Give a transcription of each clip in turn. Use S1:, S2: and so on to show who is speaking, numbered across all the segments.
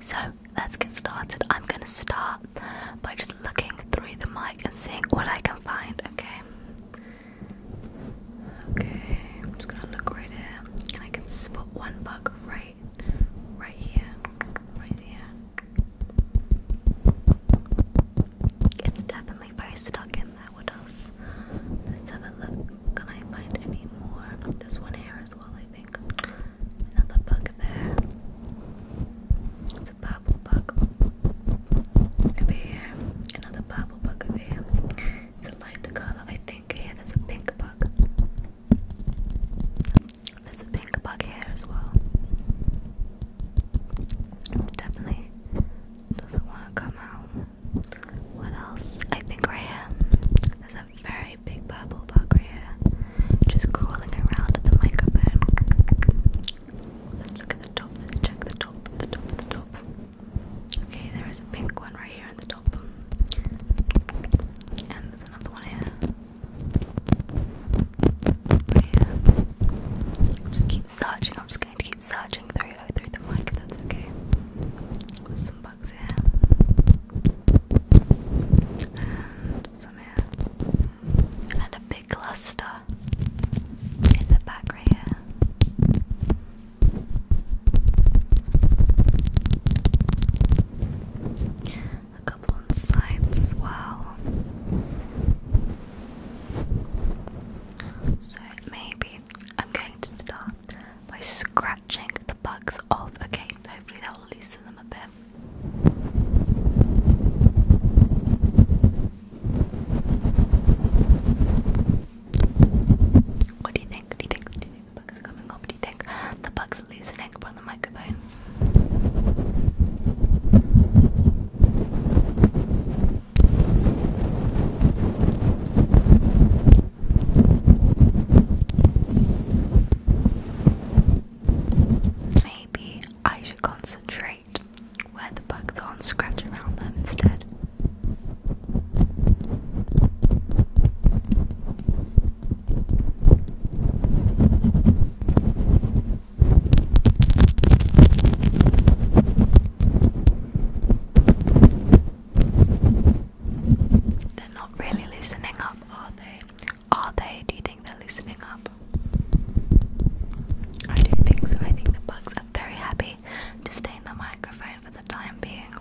S1: So let's get started. I'm gonna start by just looking through the mic and seeing what I can find, okay? Okay, I'm just gonna look right here and I can spot one bug right right here. Right there. It's definitely very stuck in there. What else? Let's have a look. Can I find any more? There's one here as well, Another bug there. It's a purple bug. Over here. Another purple bug over here. It's a lighter colour. I think here there's a pink bug. There's a pink bug here as well. Definitely doesn't want to come out. What else? I think right here a very big purple bug right here, just crawling around at the microphone. Let's look at the top, let's check the top, the top, the top. Okay, there is a pink one right here at the top. And there's another one here. Right here. Just keep searching, I'm just going to keep searching through, through the mic if that's okay some here, and a big cluster in the back right here. A couple on sides as well. So maybe I'm going to start by scratching the bugs off. Okay, hopefully that will at what do you think? Do you think, do you think the bugs are coming up? Do you think the bugs are loosening from the microphone? Maybe I should concentrate where the bugs are and scratch around them instead. They're not really listening up, are they? Are they? Do you think they're listening up? I do think so. I think the bugs are very happy to stay in the microphone for the time being.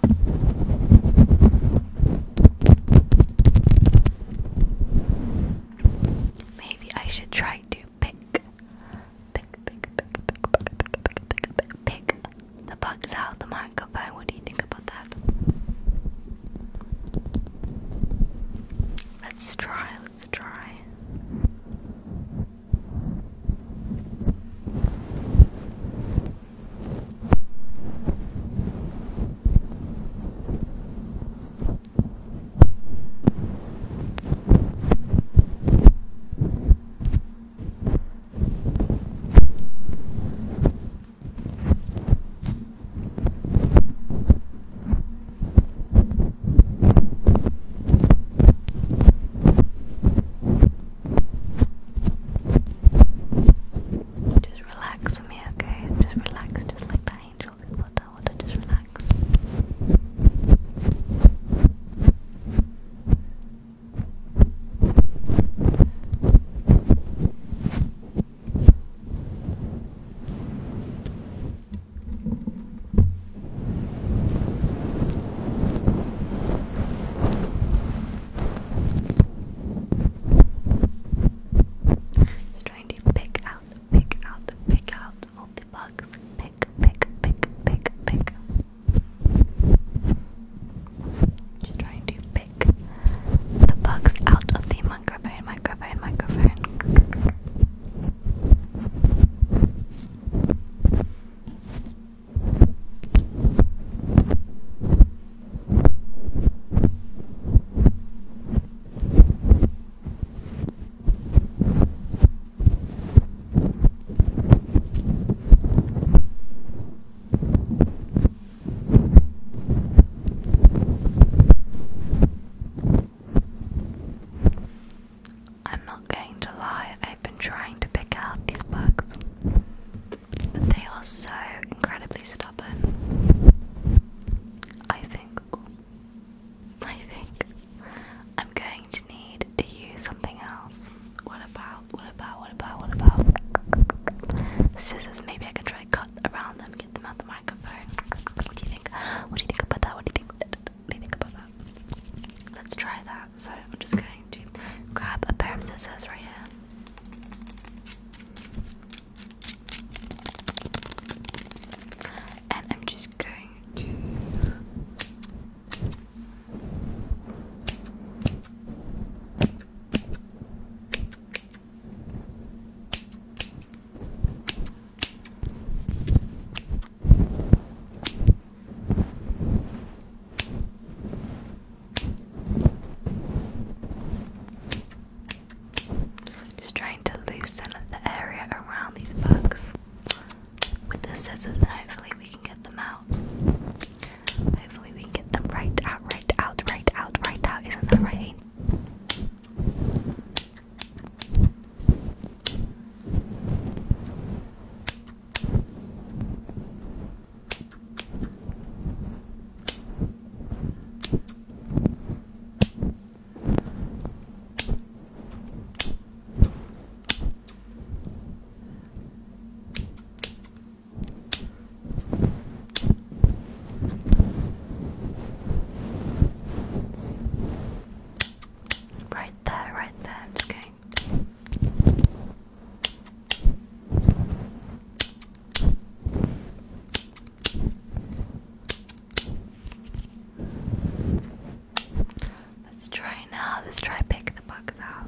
S1: Maybe I should try to pick, pick, pick, pick, pick, pick, pick, pick, pick, pick the bugs out of the microphone. What do you think about that? Let's try, let's try. Just relax me, okay? Just relax, just like that angel in water, water, just relax. Just trying to pick out, pick out, pick out all the bugs. Pick, pick, pick, pick, pick. Just trying to pick the bugs out of the microphone, microphone, microphone. I'm not going to lie, I've been trying to pick out these bugs, but they are so incredibly stubborn. I think, I think I'm going to need to use something else. What about, what about, what about, what about scissors? Maybe I can try cut around them, get them out the microphone. What do you think? What do you think about that? What do you think? What do you think about that? Let's try that. So I'm just going to grab a pair of scissors right here. And I'm just going to just trying to loosen up the area around these bugs with the scissors, and hopefully, we can get them out. Hopefully we can get them right out, right out, right out, right out. Isn't that right? Right there, right there, I'm just going. Let's try now. Let's try pick the bugs out.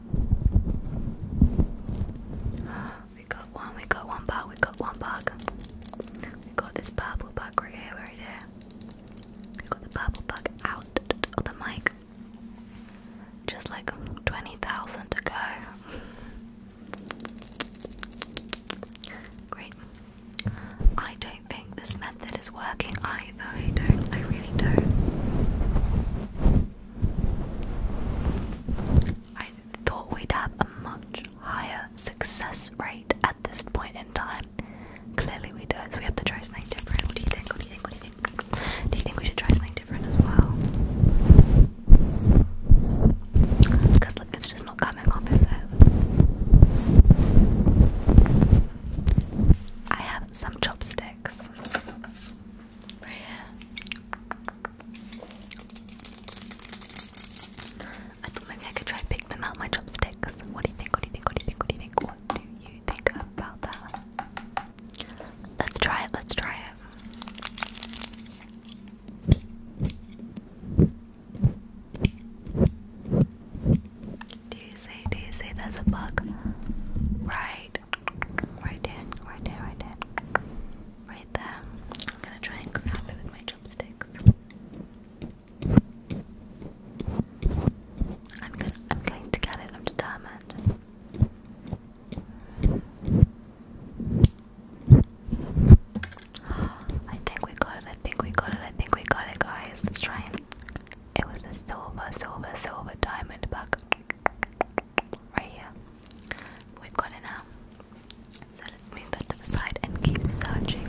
S1: We got one, we got one bug, we got one bug. We got this purple bug right here, right here. We got the purple bug out of the mic. Just like 20,000 to go. Great. I don't think this method is working either. I don't, I really don't. I thought we'd have a much higher success rate at this point in time. Clearly we don't, so we have to try something different. What do you think? What do you think? What do you think? Do you think we should try something different as well? Because look, it's just not coming off, is I have some chopsticks. I thought maybe I could try and pick them out, my chopsticks. What do you think? What do you think? What do you think? What do you think? What do you think about that? Let's try it. Let's try it. Do you see? Do you see? There's a bug right Right there, right there, right there. Right there. I'm gonna try and grab it with my chopsticks. I'm gonna I'm going to get it, I'm determined. I think we got it, I think we got it, I think we got it guys. Let's try and it was a silver, silver, silver diamond buck right here. We've got it now. Um, so let's move that to the side and keep searching.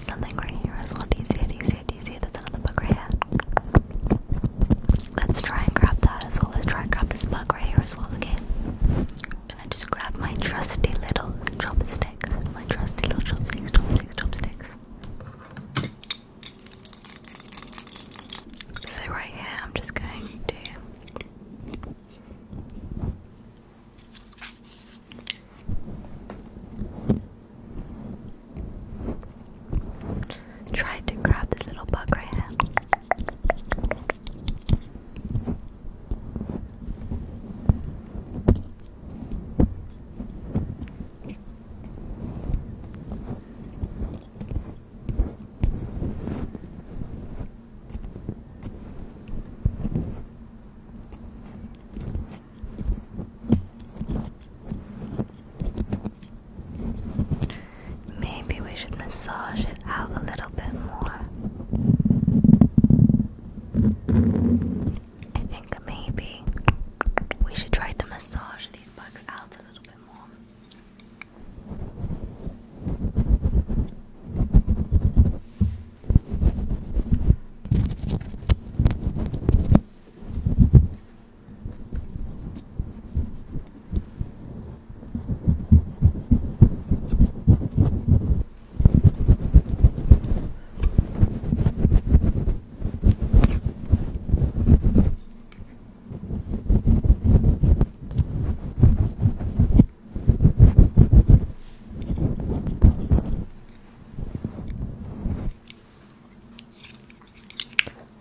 S1: something right here as well. Do you see it? Do you see it? Do you see it? another bug right here. Let's try and grab that as well. Let's try and grab this bug right here as well again gonna just grab my trusty little chopsticks. My trusty little chopsticks, chopsticks, chopsticks. So right here, I'm just going to. Try to grab this little bug right here. Maybe we should massage it out a little bit more. I think maybe we should try to massage these bugs out a little bit more.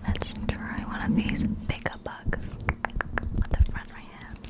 S1: Let's try one of these bigger bugs with the front right hand.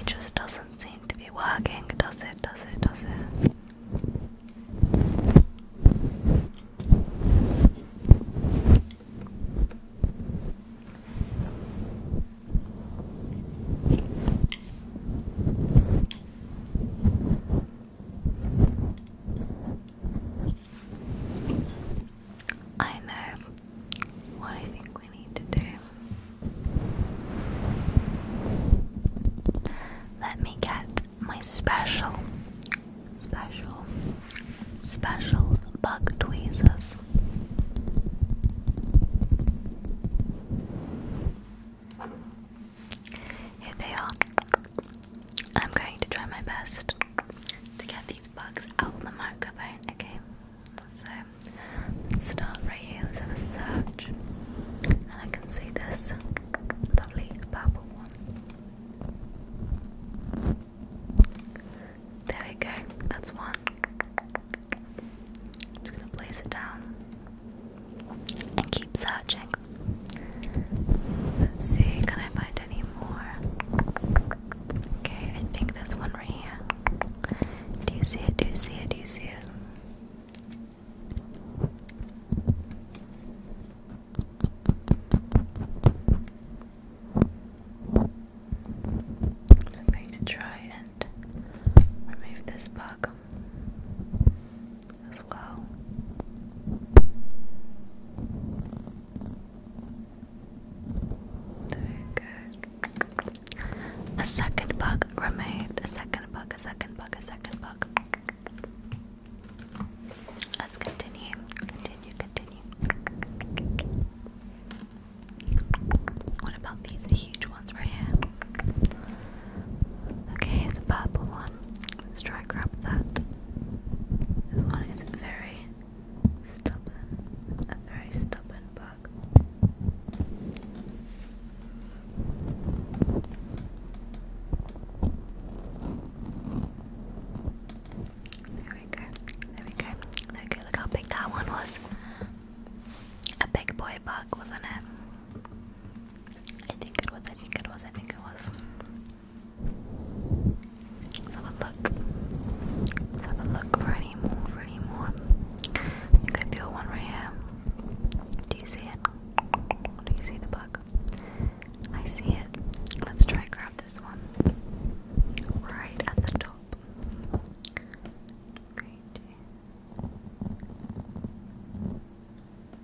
S1: It just doesn't seem to be working, does it? Does it? Does it? I know what I think we need to do. Let me get my special, special, special bug tweezers. Here they are. I'm going to try my best to get these bugs out of the microphone, okay? So let's start right here. Let's have a search. I can see this lovely purple one. There we go, that's one. just gonna place it down and keep searching. Let's see, can I find any more? Okay, I think there's one right here. Do you see it? Do you see it? Do you see it? So I'm going to try and remove this bug as well. There we go. A second bug removed. A second bug, a second bug, a second bug. Let's continue, continue, continue. What about these huge ones right here? Okay, here's a purple one. Let's try grab that. This one is very stubborn. A very stubborn bug. There we go. There we go. Okay, look how big that one was. A big boy bug, wasn't it? I think it was, I think it was, I think it was. Let's have a look. Let's have a look for any more, for any more. I think I feel one right here. Do you see it? Do you see the bug? I see it. Let's try grab this one. Right at the top.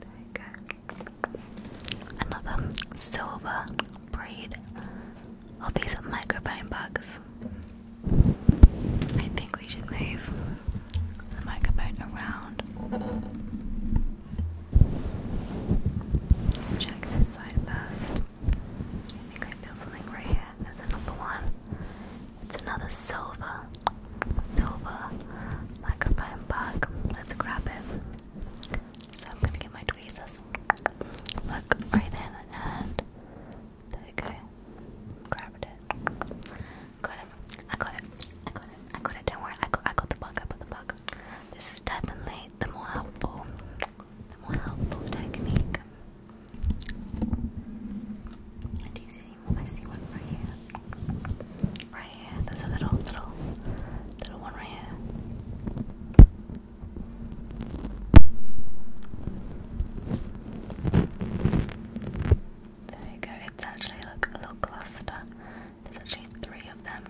S1: There you go. Another silver breed of these microphone bugs. I think we should move microphone around. Check this side first. I think I feel something right here. There's another one. It's another silver, silver microphone bug. Let's grab it. So I'm gonna get my tweezers. Look right in and there Grab it. I got it. I got it. I got it. Don't worry. I got. I got the bug. I got the bug. This is definitely the more helpful, more helpful technique. And do see any I see one right here. Right here. There's a little, little, little one right here. There you go. It's actually like a little cluster. There's actually three of them.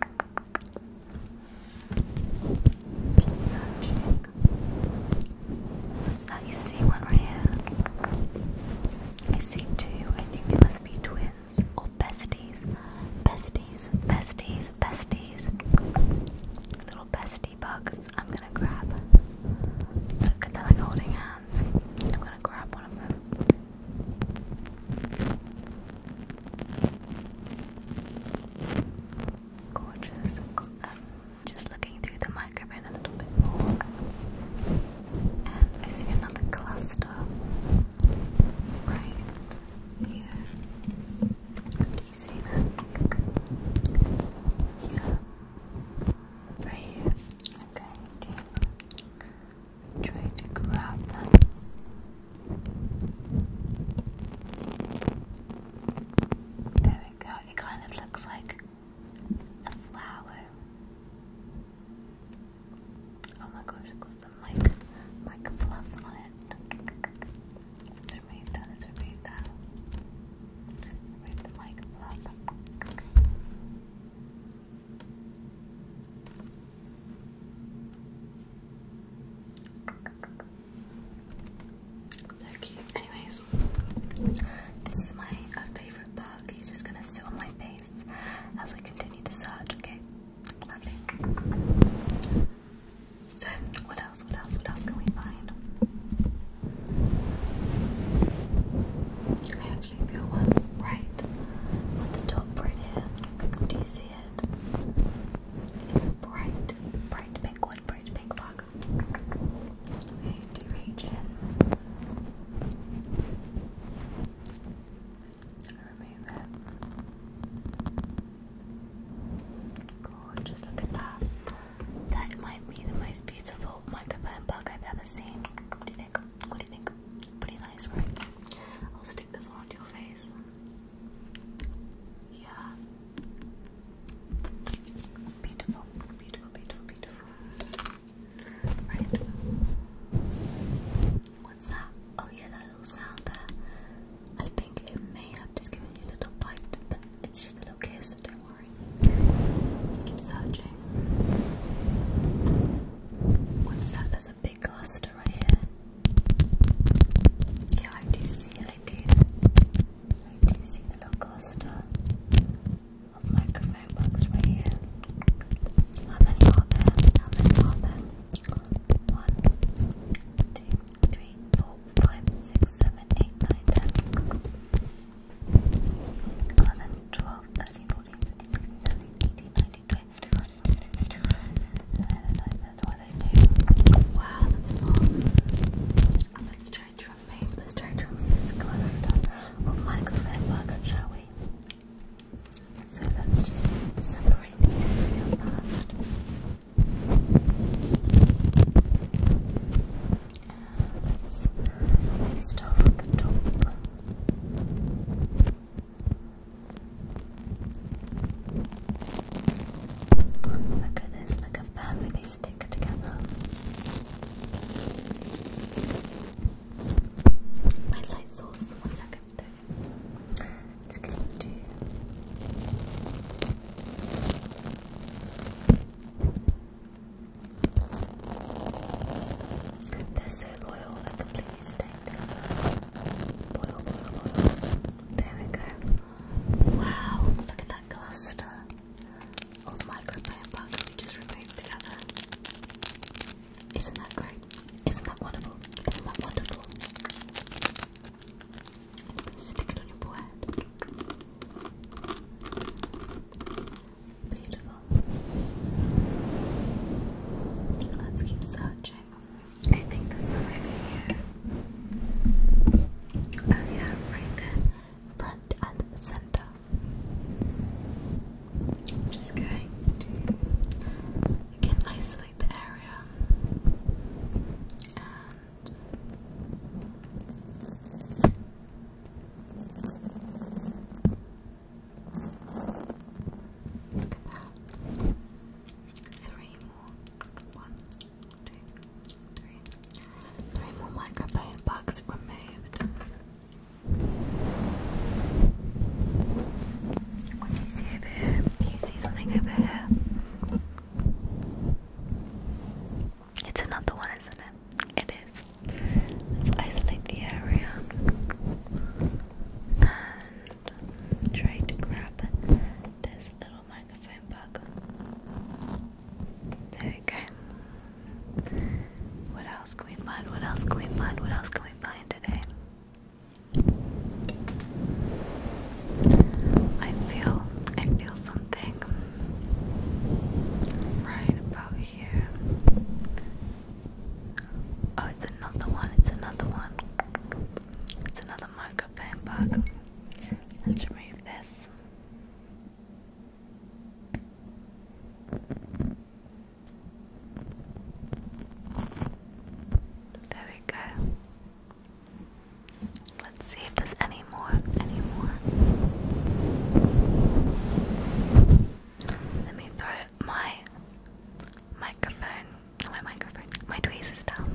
S1: Keep that? You see one right here. I see two. I think they must be twins or besties. Besties, besties, besties. Little bestie bugs. I'm gonna grab. Look, they're holding hands. I'm gonna grab one of them. Gorgeous. just looking through the microphone a little bit more. And I see another cluster right here. Do you see that? Yeah. Right here. I'm going to try to grab There we go, it kind of looks like a flower. Oh my gosh, it got some mic, mic fluff on it. Let's remove that, let's remove that. Remove the mic fluff. So cute. Anyways, this is my uh, favorite bug. He's just gonna sit on my face as I continue to search, okay? Lovely. So, what else, what else, what else can we find? actually on the top right here. Do you see it? It's bright, bright pink one, bright pink bug. Okay, do you in? Remove it. Gorgeous, look at that. That might be the most beautiful microphone bug I've ever seen. What do you think? What do you think? Pretty nice, right? I'll stick this on your face. Yeah. Beautiful, beautiful, beautiful, beautiful. Right. What's that? Oh yeah, that little sound there. I think it may have just given you a little bite, but it's just a little kiss, don't Let's keep searching. What's that? There's a big cluster right here. Yeah, I do see I do. I do see the little cluster of microphone bugs right here. How many are there? How many are there? One, two, three, four, five, six, seven, eight, nine, ten. 11, 12, Wow, that's long. Let's try to remove, let's try to remove this cluster of microphone bugs, shall we? So let's just separate the area first let's start from the top. Look at this, look how firmly they stick together. My light source, one second Just going to do they're so loyal, I completely staked There we go. Wow, look at that cluster of microbiome bugs we just removed together. Isn't that great? Isn't that wonderful? Isn't that wonderful? Stick it on your forehead. Beautiful. Let's keep searching. I think this is here. Oh yeah, right there. Front and center. just going to again isolate the area Look at that. Three more. One, two, three. Three more microphone bugs removed. What do you see over here? Do you see something over here? It's another one, isn't it? It is. Let's isolate the area and try to grab this little microphone bug. There we go. What else can we find? What else can we find? What else can we find today? I feel I feel something right about here. Oh, it's another one, it's another one. It's another marker bug. Let's remove this. There we go. Let's see if there's any more. Any more? Let me throw my microphone. my microphone. My tweezers down.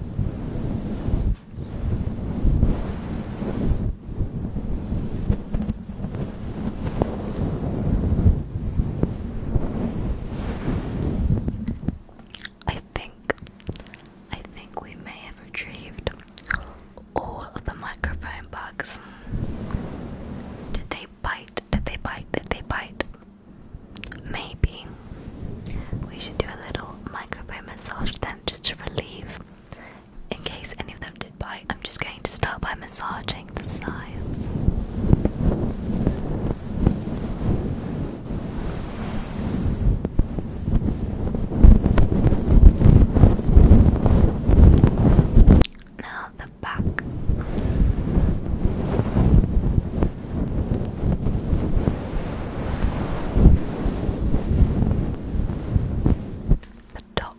S1: I think I think we may have retrieved all of the microphone bugs. Did they bite? Did they bite? Did they bite? Maybe. We should do a little microphone massage then just to relieve in case any of them did bite. I'm just going to start by massaging the sides. Now the back. The top.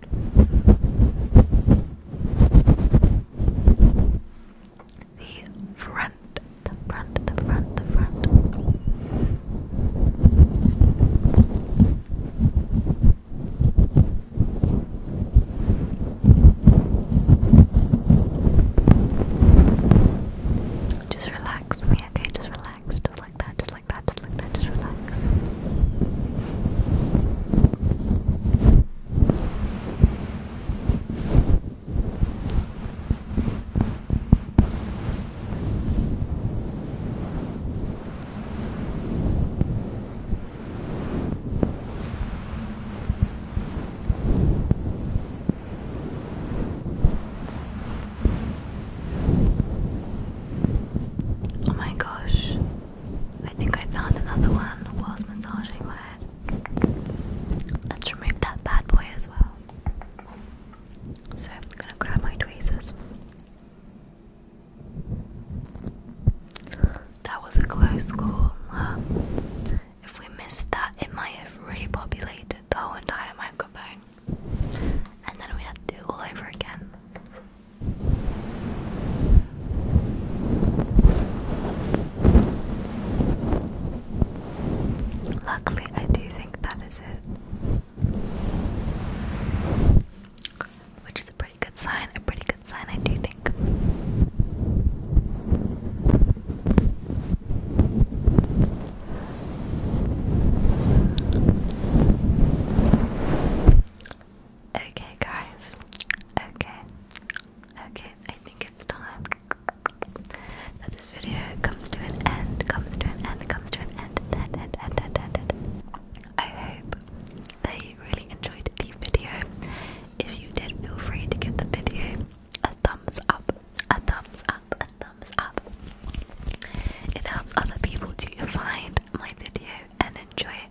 S1: The front, the front, the front, the front. Just relax okay? Just relax, just like that, just like that, just like relax. Oh, my gosh, I think I found another one whilst massaging my head. Let's remove that bad boy as well. So I'm gonna grab my tweezers. That was a close call. If we missed that, it might have repopulated the whole entire microphone. And then we had to do all over again. Luckily, I do think that is it. Which is a pretty good sign, a pretty good sign, I do think. Okay, guys. Okay. Okay, I think it's time that this video comes to an end, comes to an end, comes to an end, end, end, end, end, end, end. I hope that you really enjoyed the video. If you did, feel free to give the video a thumbs up, a thumbs up, a thumbs up. It helps other people to find my video and enjoy it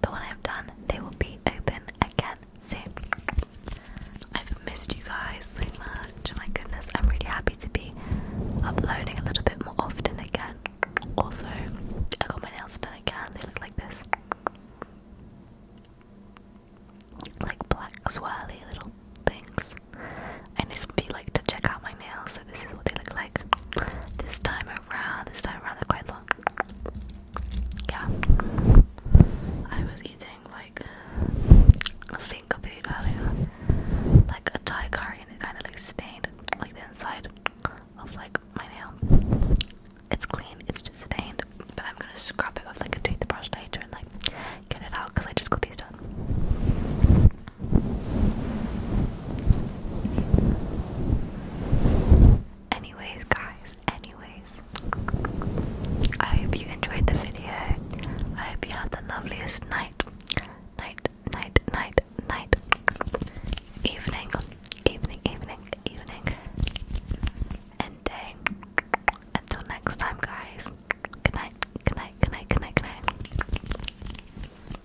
S1: But when I'm done, they will be open again soon. I've missed you guys so much. Oh my goodness, I'm really happy to be uploading a little bit more often again. Also, I got my nails done again. They look like this. Like black swirly little things. And this would be like to check out my nails, so this is what they look like. This time this time around quite long. Yeah. I was eating like a finger food earlier. Like a Thai curry and it kinda like stained like the inside of like my nail. It's clean, it's just stained, but I'm gonna scrub it with like a toothbrush later and like get it out because I just got these done. Anyways, guys, anyways, I hope you enjoyed the video. I hope you had the loveliest night, night, night, night, night, evening, evening, evening, evening, and day. Until next time, guys. Good night, good night, good night, good night, good night.